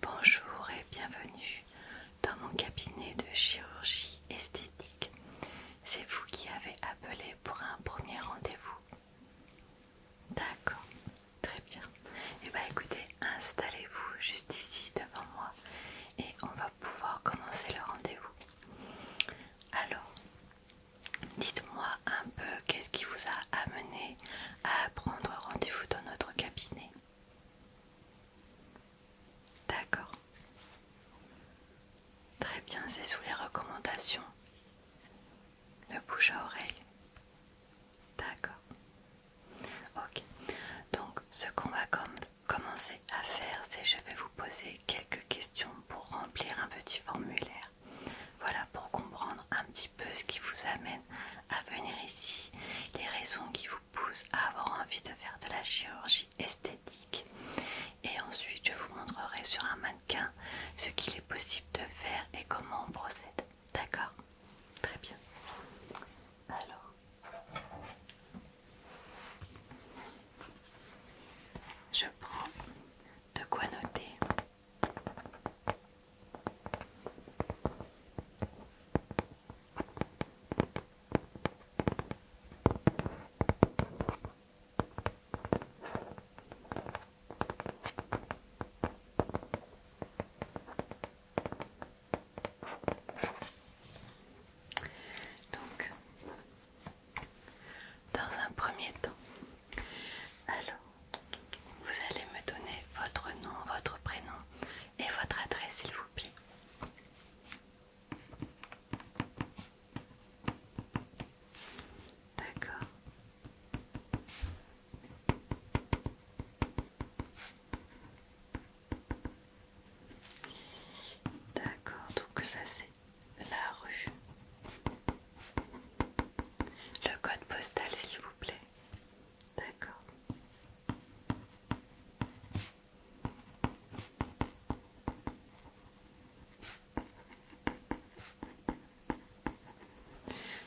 Bonjour et bienvenue dans mon cabinet de chirurgie esthétique. C'est vous qui avez appelé pour un premier rendez-vous. D'accord, très bien. Et eh bah ben, écoutez, installez-vous juste ici devant moi et on va pouvoir commencer le rendez-vous. Alors, dites-moi un peu qu'est-ce qui vous a amené à prendre rendez-vous dans notre cabinet. D'accord. Très bien, c'est sous les recommandations Le bouche à oreille. D'accord. Ok. Donc ce qu'on va commencer à faire, c'est je vais vous poser quelques questions pour remplir un petit formulaire. Voilà pour comprendre un petit peu ce qui vous amène à venir ici, les raisons qui vous poussent à avoir envie de faire de la chirurgie esthétique. Et ensuite, je vous montrerai sur un mannequin ce qu'il est possible de faire et comment on procède. D'accord Très bien. Alors. Je prends de quoi noter. Donc, dans un premier temps, alors vous allez me donner votre nom, votre prénom et votre adresse, s'il vous plaît. D'accord. D'accord, donc ça c'est la rue. Le code postal, s'il vous plaît. D'accord.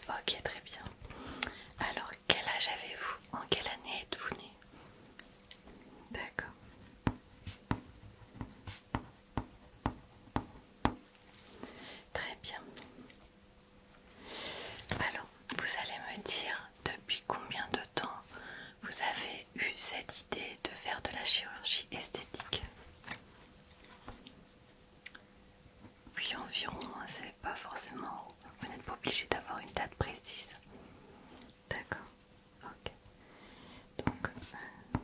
Ok, très bien. Alors, quel âge avez-vous En quelle année êtes-vous né D'accord. Très bien. Alors, vous allez me dire depuis combien de temps vous avez eu cette idée de faire de la chirurgie esthétique Puis environ, c'est pas forcément. Vous n'êtes pas obligé d'avoir une date précise. D'accord. Ok. Donc. Euh,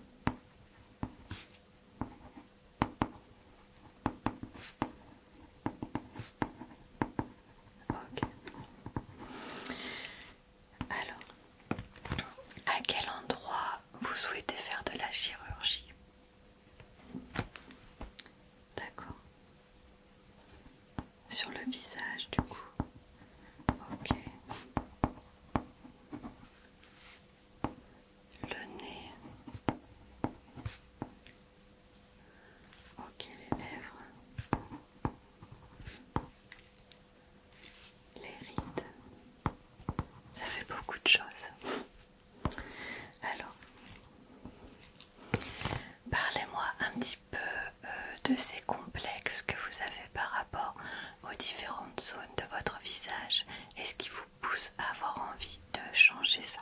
alors, à quel endroit vous souhaitez faire de la chirurgie D'accord. Sur le visage, du coup. Ok. Le nez. Ok, les lèvres, les rides, ça fait beaucoup de choses. Alors, parlez-moi un petit peu euh, de ces complexes que vous avez par rapport aux différentes zones de votre visage est ce qui vous pousse à avoir envie de changer ça.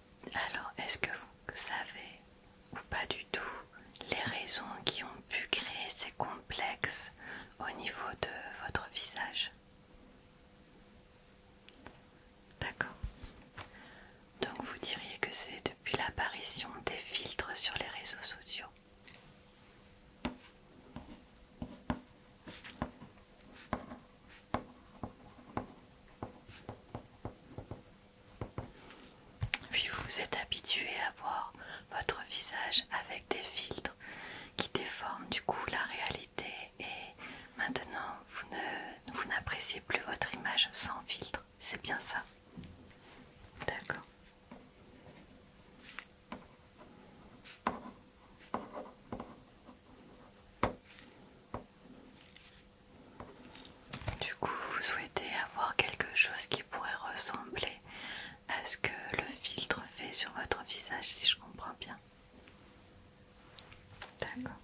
Alors, est-ce que vous savez ou pas du tout les raisons qui ont pu créer ces complexes au niveau de votre visage D'accord. Donc vous diriez que c'est depuis l'apparition des filtres sur les réseaux sociaux. Puis vous êtes habitué à voir votre visage avec des filtres qui déforment du coup la réalité et maintenant vous vous n'appréciez plus votre image sans filtre. C'est bien ça. D'accord. Du coup, vous souhaitez avoir quelque chose qui pourrait ressembler à ce que le filtre fait sur votre visage, si je comprends bien. D'accord.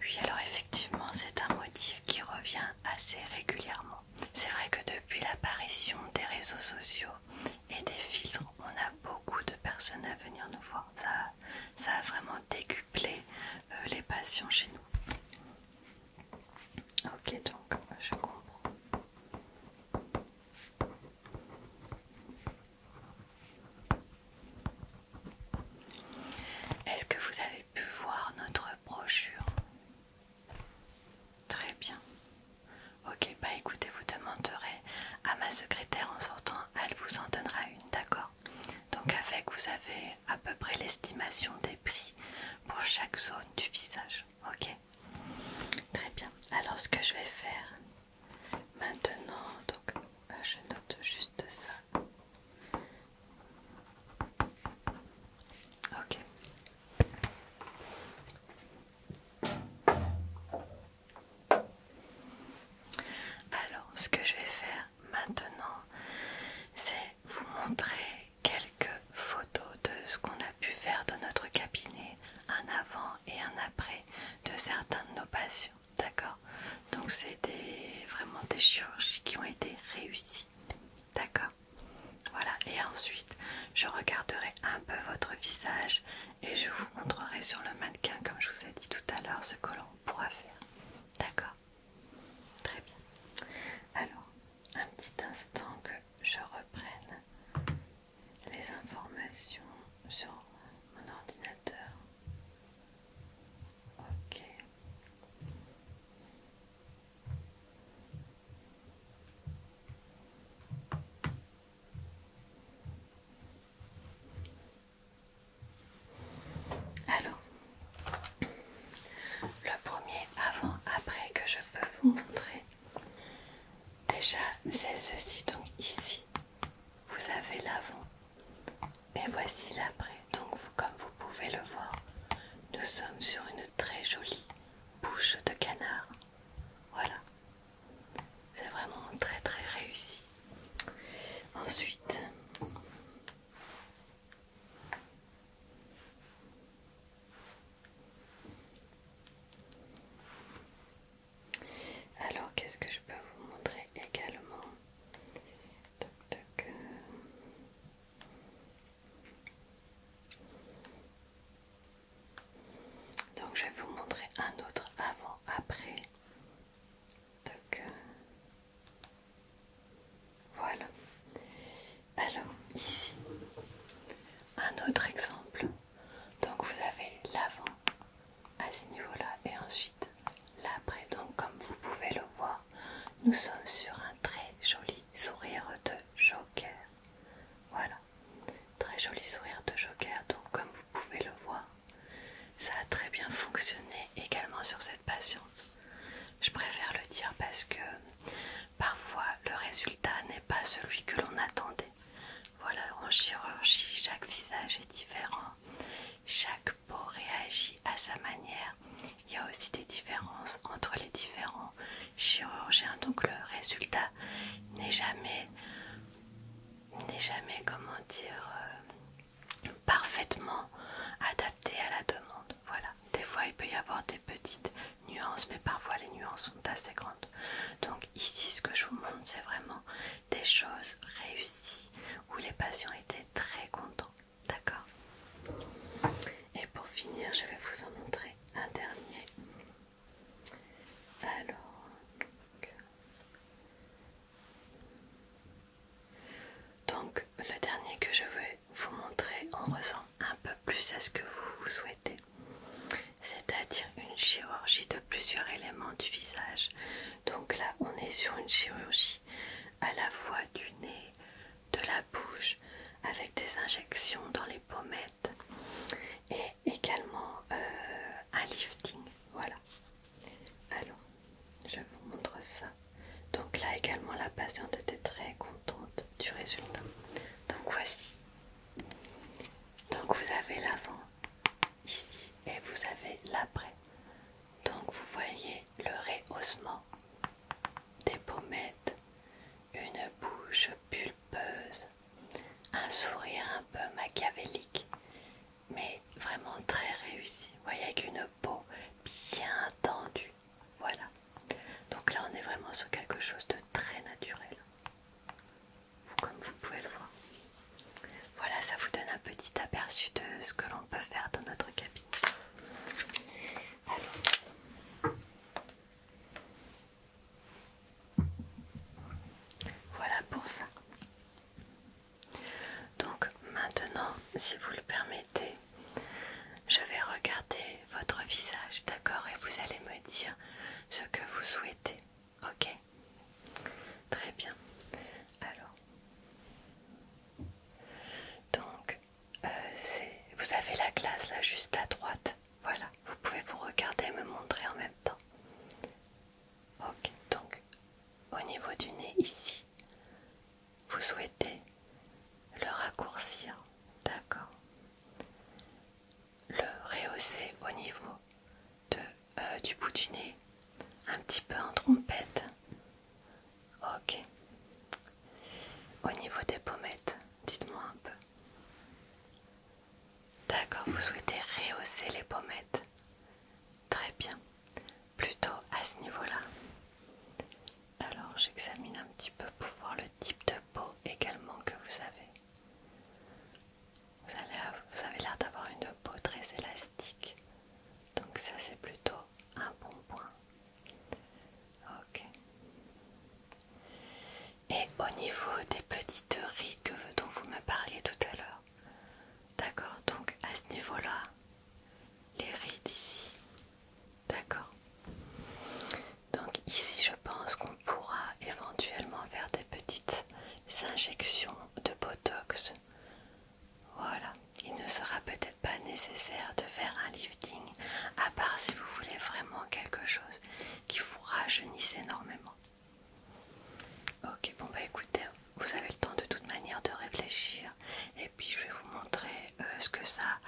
Oui, alors effectivement, c'est un motif qui revient assez régulièrement. C'est vrai que depuis l'apparition des réseaux sociaux et des filtres, on a beaucoup de personnes à venir nous voir. Ça, a vraiment décuplé Plaît euh, les patients chez nous. Ok, donc je comprends. Est-ce que vous avez pu voir notre brochure Très bien. Ok, bah écoutez, vous demanderez à ma secrétaire en sortant, elle vous en donnera une, d'accord donc avec, vous avez à peu près l'estimation des prix pour chaque zone du visage. Ok Très bien. Alors ce que je vais faire maintenant, donc euh, je note juste ça. Ok. Alors, ce que je vais faire maintenant, c'est vous montrer quelques photos de ce qu'on a pu faire dans notre cabinet, un avant et un après de certains de nos patients. D'accord Donc, c'est vraiment des chirurgies qui ont été réussies. D'accord Voilà, et ensuite, je regarderai un peu votre visage et je vous montrerai sur le mannequin, comme je vous ai dit tout à l'heure, ce que l'on pourra faire. D'accord Très bien. Alors, un petit instant que je reprenne les informations sur mon ordinateur. Alors, le premier avant-après que je peux vous montrer, déjà c'est ceci. Donc ici, vous avez l'avant et voici l'après. Donc comme vous pouvez le voir, nous sommes sur une très jolie bouche de canard. Voilà. C'est vraiment très très réussi. Ensuite, alors, qu'est-ce que je peux vous montrer également euh. Donc, je vais vous montrer un autre avant-après donc euh, voilà. Alors ici, un autre exemple. Donc vous avez l'avant à ce niveau-là et ensuite l'après. Donc comme vous pouvez le voir, nous sommes sur un très joli sourire de joker. Voilà. Très joli sourire de joker. Donc comme vous pouvez le voir, ça a très bien fonctionné également sur cette patiente. Je préfère le dire parce que parfois le résultat n'est pas celui que l'on attendait. Voilà, en chirurgie, chaque visage est différent, chaque peau réagit à sa manière. Il y a aussi des différences entre les différents chirurgiens, donc le résultat n'est jamais, n'est jamais, comment dire, euh, parfaitement adapté à la demande. Voilà, des fois il peut y avoir des petites nuances, mais parfois les nuances sont assez grandes. Donc ici, ce que je vous montre, c'est vraiment des choses réussies où les patients étaient très contents. D'accord Et pour finir, je vais vous en montrer un dernier. Alors, donc le dernier que je vais vous montrer en ressent un peu plus à ce que vous, souhaitez, c'est-à-dire une chirurgie de plusieurs éléments du visage. Donc là on est sur une chirurgie à la fois du nez, de la bouche, avec des injections dans les pommettes et également euh, un lifting. Voilà. Alors, je vous montre ça. Donc là également, la patiente était très contente du résultat. Donc voici. Donc vous avez l'avant ici et vous avez l'après. Donc vous voyez le rehaussement des pommettes, une bouche pulpeuse, un sourire un peu machiavélique, mais vraiment très réussi. voyez avec une peau bien tendue. Voilà. Donc là, on est vraiment sur quelque chose de très naturel. Comme vous pouvez le voir. Voilà, ça vous donne un petit aperçu de ce que l'on peut faire dans notre cabine. Voilà pour ça. Donc maintenant, si vous le permettez, je vais regarder votre visage, d'accord Et vous allez me dire ce que vous souhaitez, ok Très bien. Alors, donc, euh, vous avez la glace là juste à droite. Voilà, vous pouvez vous regarder et me montrer en même temps. Ok, donc au niveau du nez ici, vous souhaitez le raccourcir, d'accord Le rehausser au niveau euh, du bout du nez, un petit peu en trompette. Ok. Au niveau des pommettes, dites-moi un peu. D'accord, vous souhaitez rehausser les pommettes. Très bien plutôt à ce niveau-là. Alors j'examine un petit peu pour voir le type de peau également que vous avez. Vous, avez l'air d'avoir une peau très élastique, donc ça c'est plutôt un bon point. Ok. Et au niveau des petites rides dont vous me parliez tout à l'heure, d'accord, donc à ce niveau-là, les rides ici. D'accord. Donc ici je pense qu'on pourra éventuellement faire des petites injections de Botox. Voilà. Il ne sera peut-être pas nécessaire de faire un lifting, à part si vous voulez vraiment quelque chose qui vous rajeunisse énormément. Ok, bon bah écoutez, vous avez le temps de toute manière de réfléchir et puis je vais vous montrer euh, ce que ça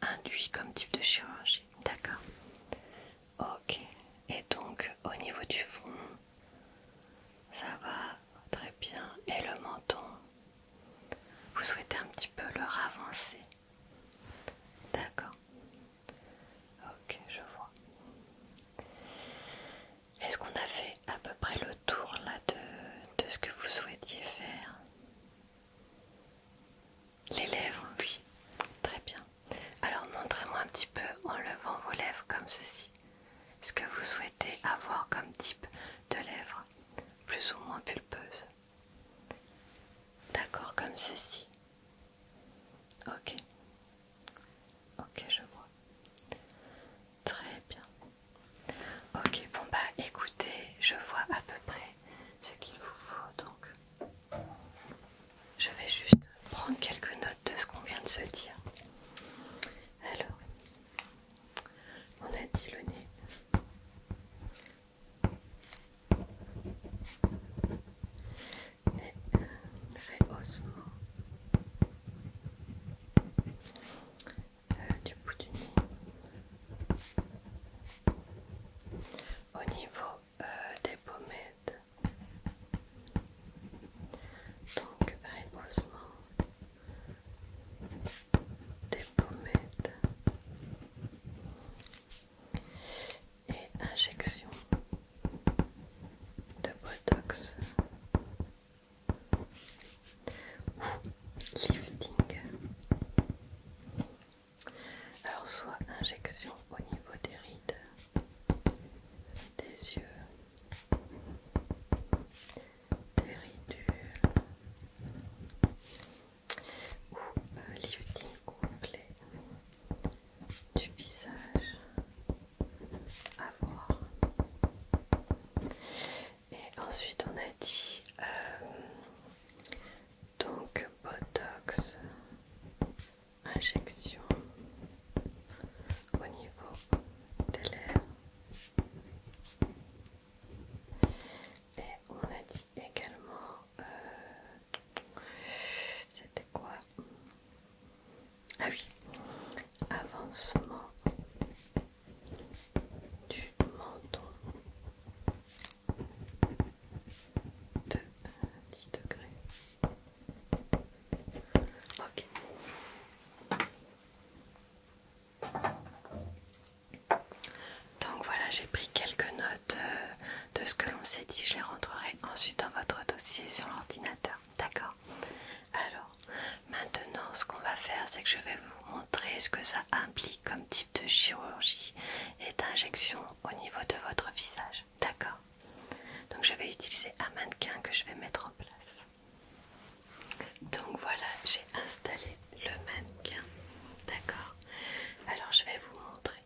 induit comme type de chirurgie. D'accord Ok. Et donc au niveau du front, ça va très bien. Et le menton, vous souhaitez un petit peu le ravancer. D'accord Ok, je vois. Est-ce qu'on a fait à peu près le tour là de, de ce que vous souhaitiez faire. Les lèvres, oui. Très bien. Alors montrez-moi un petit peu en levant vos lèvres comme ceci. Ce que vous souhaitez avoir comme type de lèvres, plus ou moins pulpeuses. D'accord, comme ceci. Ok. Ok, je vois. Très bien. Ok, bon bah écoutez, je vois à peu près ce qu'il vous faut, donc je vais juste prendre quelques notes de ce qu'on vient de se dire. Alors, on a dit le nez. Et du bout du Au niveau euh, des pommettes, donc reposement des pommettes et injection de botox Lifting. Alors soit injection au niveau des rides, des yeux, des ridules, ou euh, lifting complet du visage à voir. Et ensuite on a dit euh, donc Botox injection au niveau des lèvres. Et on a dit également euh, c'était quoi Ah oui, avancement du menton de 10 degrés. Ok. Donc voilà, j'ai pris quelques notes euh, de ce que l'on s'est dit. Je les rentrerai ensuite dans votre dossier sur l'ordinateur. D'accord Alors, Maintenant, ce qu'on va faire, c'est que je vais vous montrer ce que ça implique comme type de chirurgie et d'injection au niveau de votre visage. D'accord Donc, je vais utiliser un mannequin que je vais mettre en place. Donc, voilà, j'ai installé le mannequin. D'accord Alors, je vais vous montrer.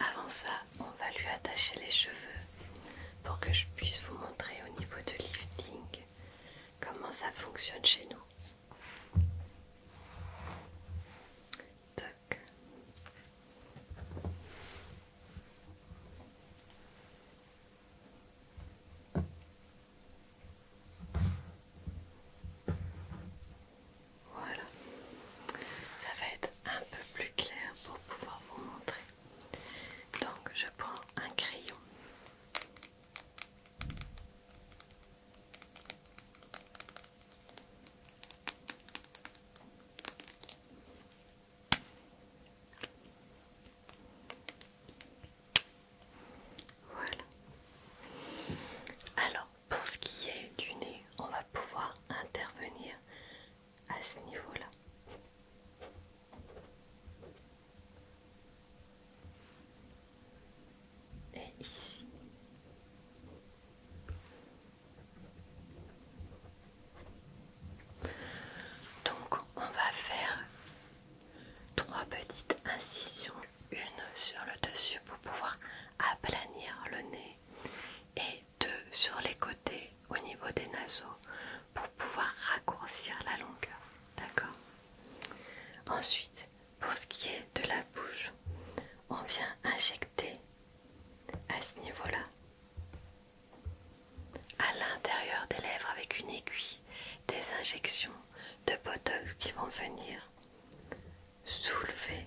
Avant ça, on va lui attacher les cheveux pour que je puisse vous montrer au niveau de lifting comment ça fonctionne chez nous. Voilà, ça va être un peu plus clair pour pouvoir vous montrer. Donc je prends un crayon. Voilà. Alors, pour ce qui est du nez, on va pouvoir intervenir à ce niveau-là et ici. Donc on va faire trois petites incisions, une sur le dessus pour pouvoir aplanir le nez et deux sur les côtés au niveau des naseaux pour pouvoir raccourcir la longueur. D'accord Ensuite, pour ce qui est de la bouche, on vient injecter à ce niveau-là, à l'intérieur des lèvres avec une aiguille, des injections de botox qui vont venir soulever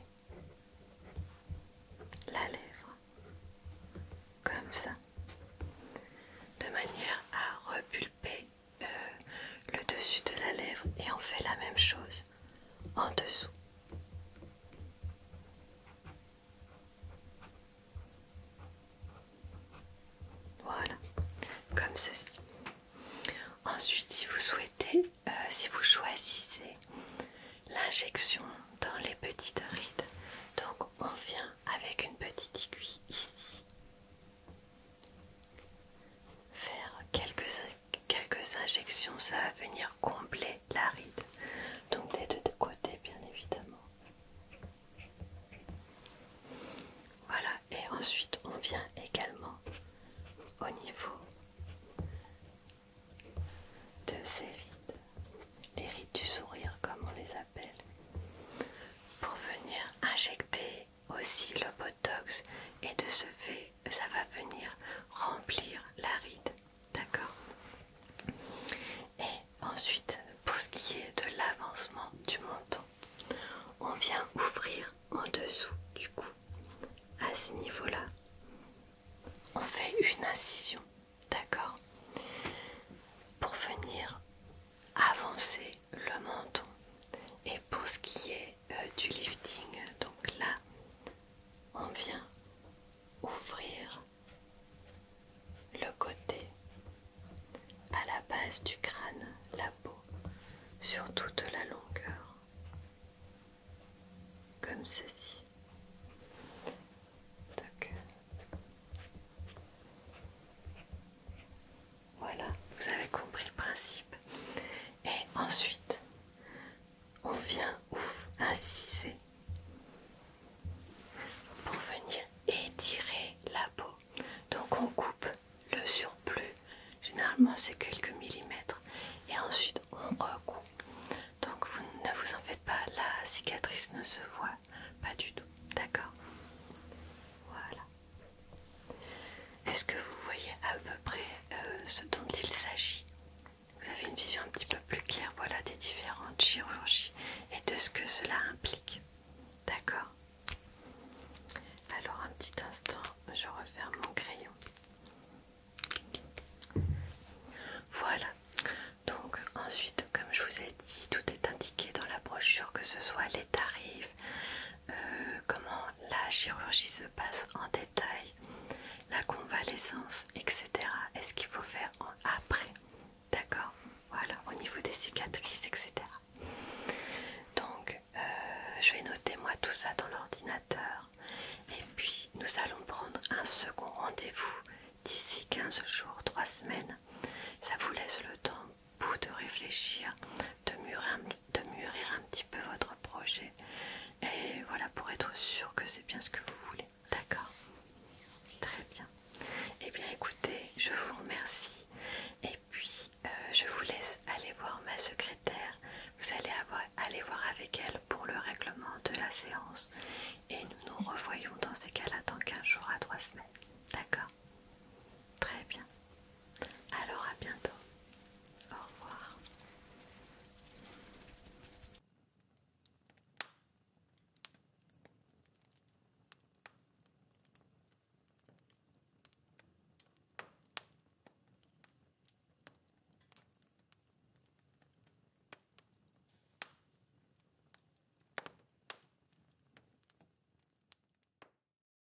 la lèvre comme ça de manière à repulper euh, le dessus de la lèvre et on fait la même chose en dessous. Voilà, comme ceci. Ensuite, si vous souhaitez, euh, si vous choisissez l'injection dans les petites rides, donc on vient avec une petite aiguille ici Faire quelques, injections, ça va venir combler la ride. Donc des deux côtés, bien évidemment. Voilà, et ensuite on vient également au niveau de ces rides, les rides du sourire comme on les appelle, pour venir injecter aussi le botox et de ce fait ça va venir remplir la ride d'accord et ensuite pour ce qui est de l'avancement du menton on vient ouvrir en dessous du cou à ce niveau là on fait une incision d'accord pour venir avancer le menton. Et pour ce qui est euh, du lifting, donc là, on vient ouvrir le côté à la base du crâne, la peau, sur toute la longueur, comme ceci. Voilà, vous avez compris le principe. Et ensuite, on vient ouf, inciser pour venir étirer la peau. Donc on coupe le surplus, généralement c'est quelques millimètres, et ensuite on recoupe. Donc vous ne vous en faites pas, la cicatrice ne se voit pas du tout, d'accord Voilà. Est-ce que vous voyez à peu près euh, ce dont il s'agit Vous avez une vision un petit peu plus claire voilà, des différentes chirurgies et de ce que cela implique. D'accord Alors un petit instant, je referme mon crayon. Voilà, donc ensuite, comme je vous ai dit, tout est indiqué dans la brochure, que ce soit les tarifs, euh, comment la chirurgie se passe en détail, la convalescence, etc. Est-ce qu'il faut faire après D'accord Voilà, au niveau des cicatrices, etc. Donc, euh, je vais noter moi tout ça dans l'ordinateur. Et puis, nous allons prendre un second rendez-vous d'ici 15 jours, 3 semaines. Ça vous laisse le temps de réfléchir, de mûrir, un petit peu votre projet. Et voilà, pour être sûr que c'est bien ce que vous voulez. D'accord Très bien. Eh bien écoutez, je vous remercie. Et puis, euh, je vous laisse aller voir ma secrétaire. Vous allez aller voir avec elle pour le règlement de la séance. Et nous nous revoyons dans ces cas-là dans 15 jours à 3 semaines. D'accord Très bien. Alors à bientôt. Au revoir.